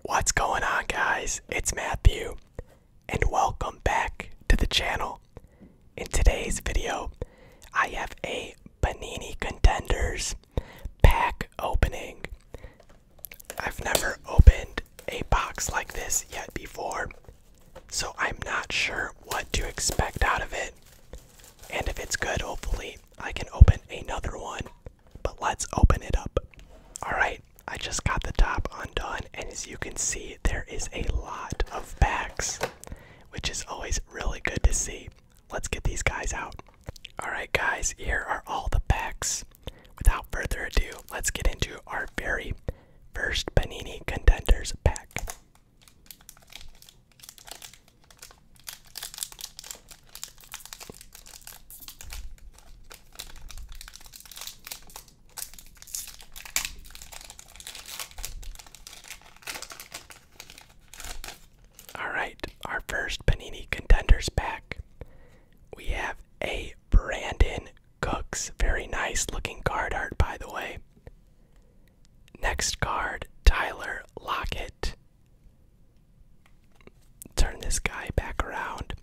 What's going on, guys? It's Matthew, and welcome back to the channel. In today's video, I have a Benini Contenders pack opening. I've never opened a box like this yet before, so I'm not sure what to expect out of it. And if it's good, hopefully, I can open another one but let's open it up. Alright, I just got the top undone, and as you can see, there is a lot of packs, which is always really good to see. Let's get these guys out. Alright, guys, here are all the packs. Without further ado, let's get into our very first Panini Contenders pack. All right, our first Panini contenders back. We have a Brandon Cooks. Very nice looking card art, by the way. Next card, Tyler Lockett. Turn this guy back around.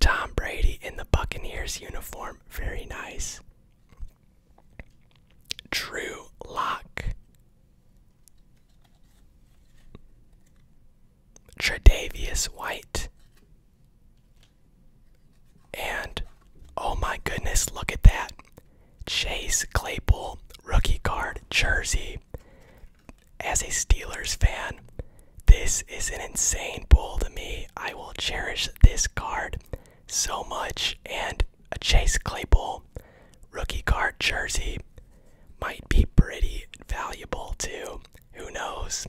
Tom Brady in the Buccaneers uniform. Very nice. Drew Lock. Tredavious White. And oh my goodness, look at that. Chase Claypool rookie card jersey as a Steelers fan, this is an insane pull to me. I will cherish this card so much. And a Chase Claypool rookie card jersey might be pretty valuable too. Who knows?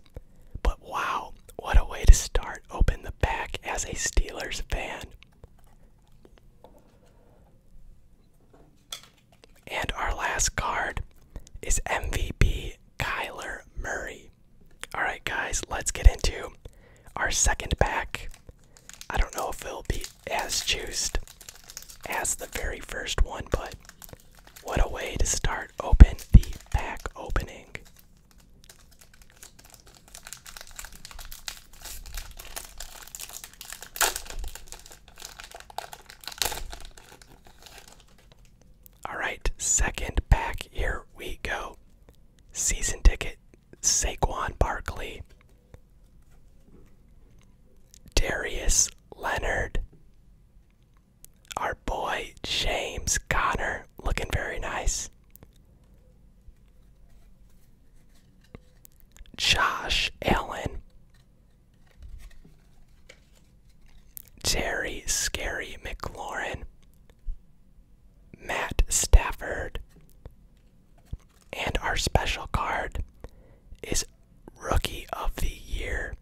But wow, what a way to start open the pack as a Steelers fan. And our last card is MVP Kyler Murray. All right, guys, let's get into our second pack. I don't know if it'll be as juiced as the very first one, but what a way to start open the pack opening. Alright, second pack, here we go. Season ticket, Saquon Barkley, Darius Leonard, our boy James Conner, looking very nice. Josh Allen, Terry Scary McLaurin, Matt Stafford, and our special card is Rookie of the Year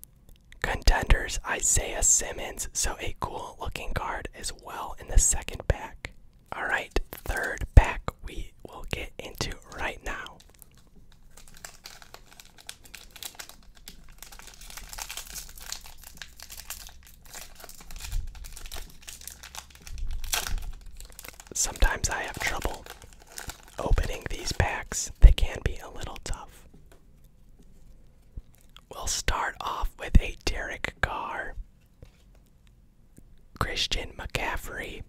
contenders Isaiah Simmons. So a cool looking card as well in the second pack. All right, third pack we will get into right now. Sometimes I have trouble opening these packs, they can be a little tough. We'll start off with a Derek Carr, Christian McCaffrey,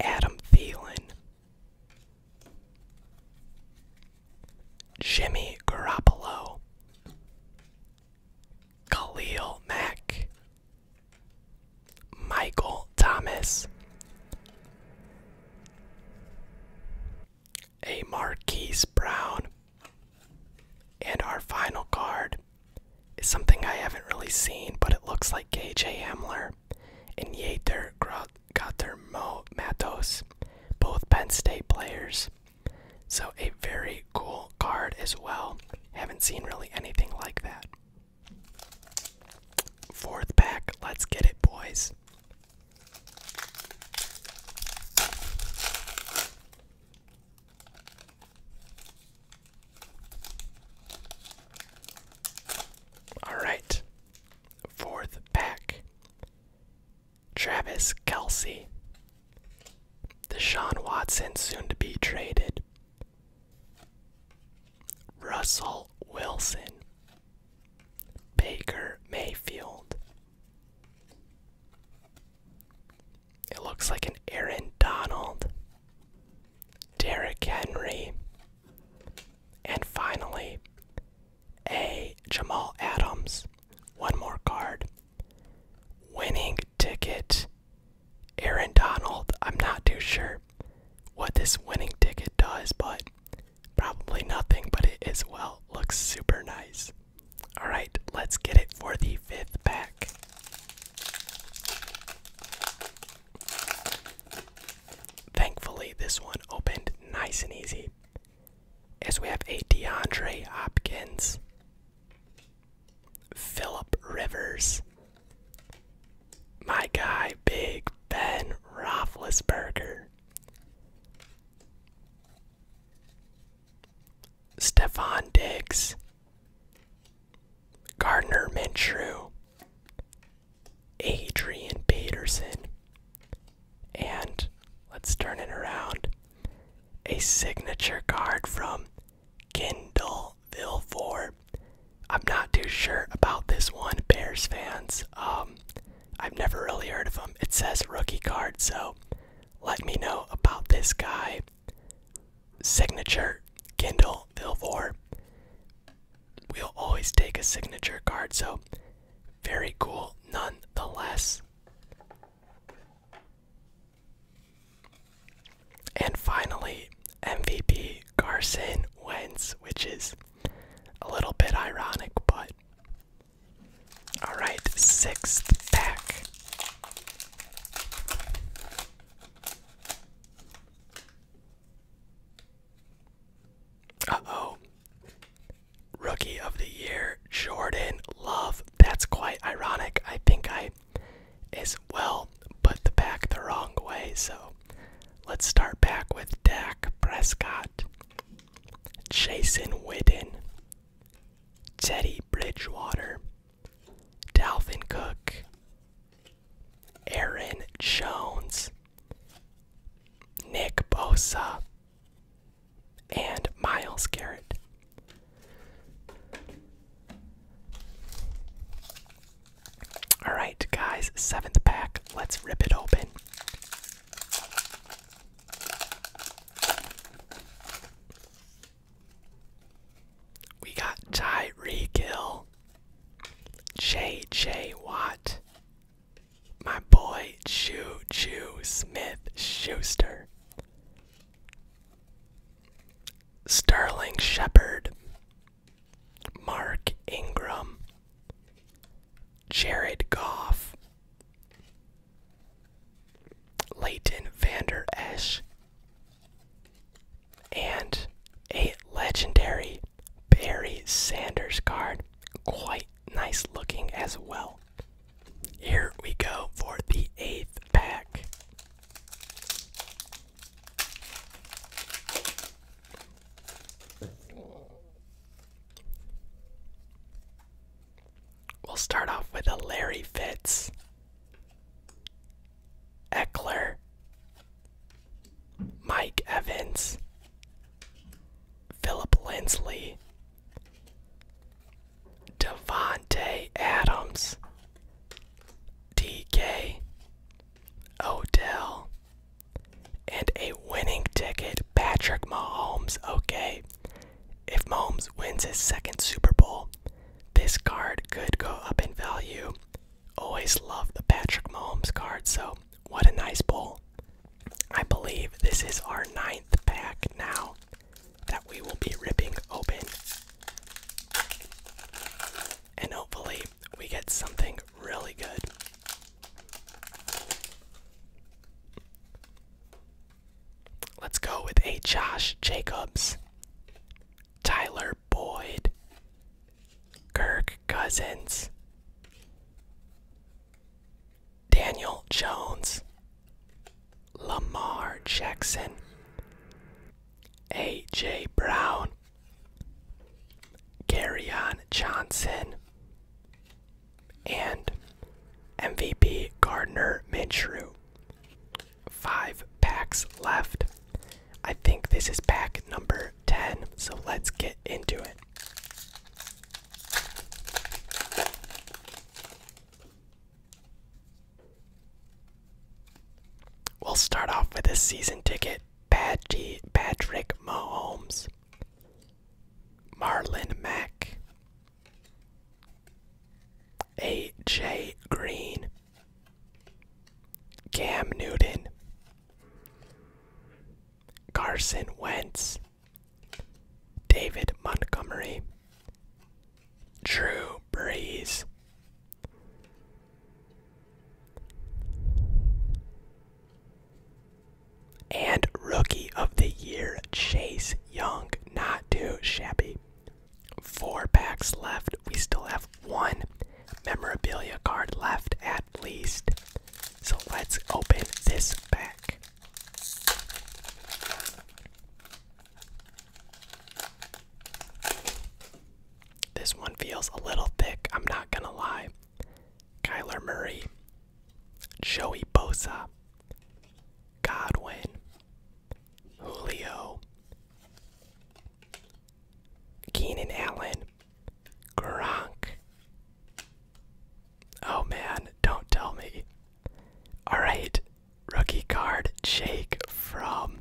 Adam Thielen, Jimmy Garoppolo, Khalil Mack, Michael Thomas, a Marquise Brown, and our final card it's something I haven't really seen, but it looks like KJ Hamler and Yater Gater Mo Matos, both Penn State players. So a very cool card as well. Haven't seen really anything like that. Fourth pack, let's get it, boys. All right. Fourth pack. Travis Kelsey. Deshaun Watson soon to be traded. Russell Wilson. Baker Mayfield. It looks like an Aaron Donald. Derek Henry, and finally, a Jamal Adams. One more card. Winning ticket. Aaron Donald. I'm not too sure what this winning ticket does, but probably nothing, but it is well looks super nice. Alright, let's get it for the fifth pack. Thankfully, this one opened nice and easy. As we have a DeAndre Hopkins, Philip Rivers, my guy, Big Ben Roethlisberger, Stefan Diggs, Gardner Minshew, Adrian Peterson, and let's turn it around. A signature card from Kindle Villefort. I'm not too sure about this one, Bears fans. Um, I've never really heard of him. It says rookie card, so let me know about this guy signature Kindle Vilvor. We'll always take a signature card, so very cool nonetheless. And finally, MVP Carson Wentz, which is a little bit ironic, but. Alright, sixth pack. Uh oh. Rookie of the Year, Jordan Love. That's quite ironic. I think I as well put the pack the wrong way. So let's start back with Dak Prescott, Jason Witten, Teddy Bridgewater, Dalvin Cook, Aaron Jones, Nick Bosa, and Miles Garrett. All right, guys, seventh pack. Let's rip it open. We got Tyreek Hill, J.J. Watt, my boy Choo Choo Smith Schuster, Sterling Shepard, Mark Ingram, Jared Goff, Leighton Vander Esch, and a legendary Barry Sanders card. Quite nice looking as well. Here we go for the eighth pack. We'll start off with a Larry Fitz, Eckler, Mike Evans, Philip Linsley, Devontae Adams, DK, Odell, and a winning ticket, Patrick Mahomes. Okay, if Mahomes wins his second Super Bowl, this card could go up in value. Always love the Patrick Mahomes card, so what a nice bowl. I believe this is our ninth pack now that we will be ripping open. And hopefully, we get something really good. Let's go with a Josh Jacobs, Tyler Boyd, Kirk Cousins, Daniel Jones, Lamar Jackson, A.J. Brown, Garyon Johnson, and MVP Gardner Minshew. Five packs left. I think this is pack number 10, so let's get into it. We'll start off with a season ticket, Patrick Mahomes, Marlin Mack, AJ Green, Cam Newton, Carson Wentz, David Montgomery, Drew Brees. And rookie of the year, Chase Young, not too shabby. Four packs left. We still have one memorabilia card left at least. So let's open this pack. This one feels a little thick, I'm not gonna lie. Kyler Murray, Joey Bosa, Godwin, Julio, Keenan Allen, Gronk. Oh man, don't tell me. Alright, rookie card, Jake from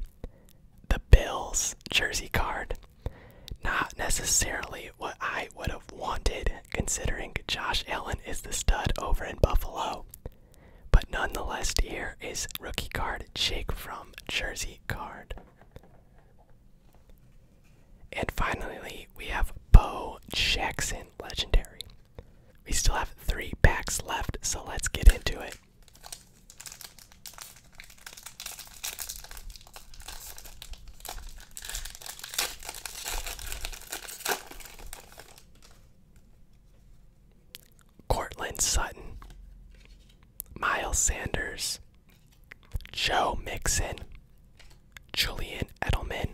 the Bills jersey card. Not necessarily what I would have wanted considering Josh Allen is the stud over in Buffalo. But nonetheless, here is rookie card Jake from Jersey card. And finally, we have Bo Jackson legendary. We still have three packs left, so let's get into it. Courtland Sutton, Miles Sanders, Joe Mixon, Julian Edelman,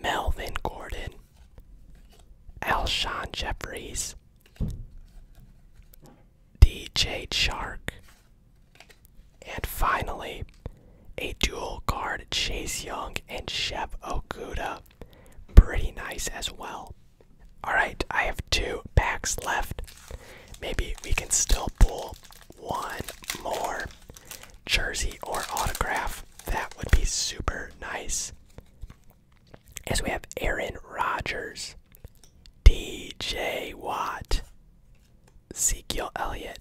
Melvin Gordon, Alshon Jeffries, DJ Shark, and finally a dual guard Chase Young and Chef Okuda. Pretty nice as well. Alright, I have two packs left. Maybe we can still pull one more jersey or autograph. That would be super nice. As we have Aaron Rodgers, DJ Watt, Ezekiel Elliott,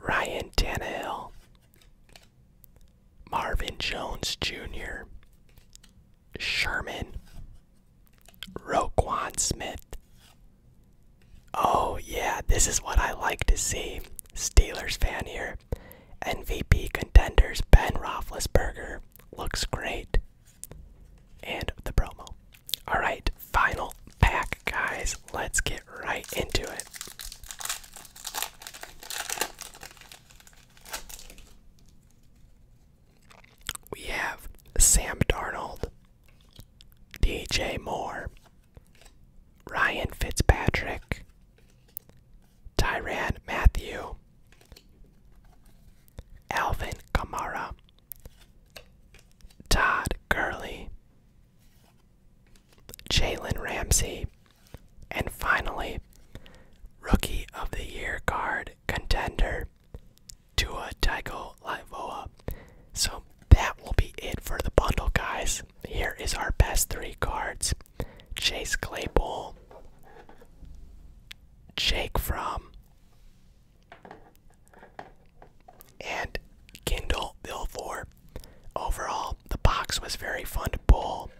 Ryan Tannehill, Marvin Jones Jr., Sherman, Roquan Smith. Oh, yeah, this is what I like to see. Steelers fan here. MVP contenders Ben Roethlisberger looks great. And the promo. Alright, final pack, guys. Let's get right into it. We have Sam Darnold, DJ Moore, Ryan Fitzpatrick, Tyran Matthew, Alvin Kamara, Todd Gurley, Jalen Ramsey, and finally, Rookie of the Year card contender, Tua Tycho Livoa. So that will be it for the bundle, guys. Here is our best three cards Chase Claypool, Jake From and Kindle Bill 4. Overall, the box was very fun to pull,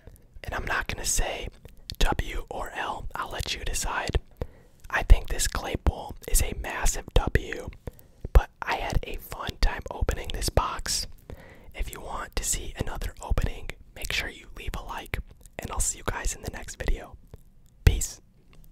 and I'm not gonna say W or L, I'll let you decide. I think this clay pull is a massive W, but I had a fun time opening this box. If you want to see another opening, make sure you leave a like, and I'll see you guys in the next video. Peace.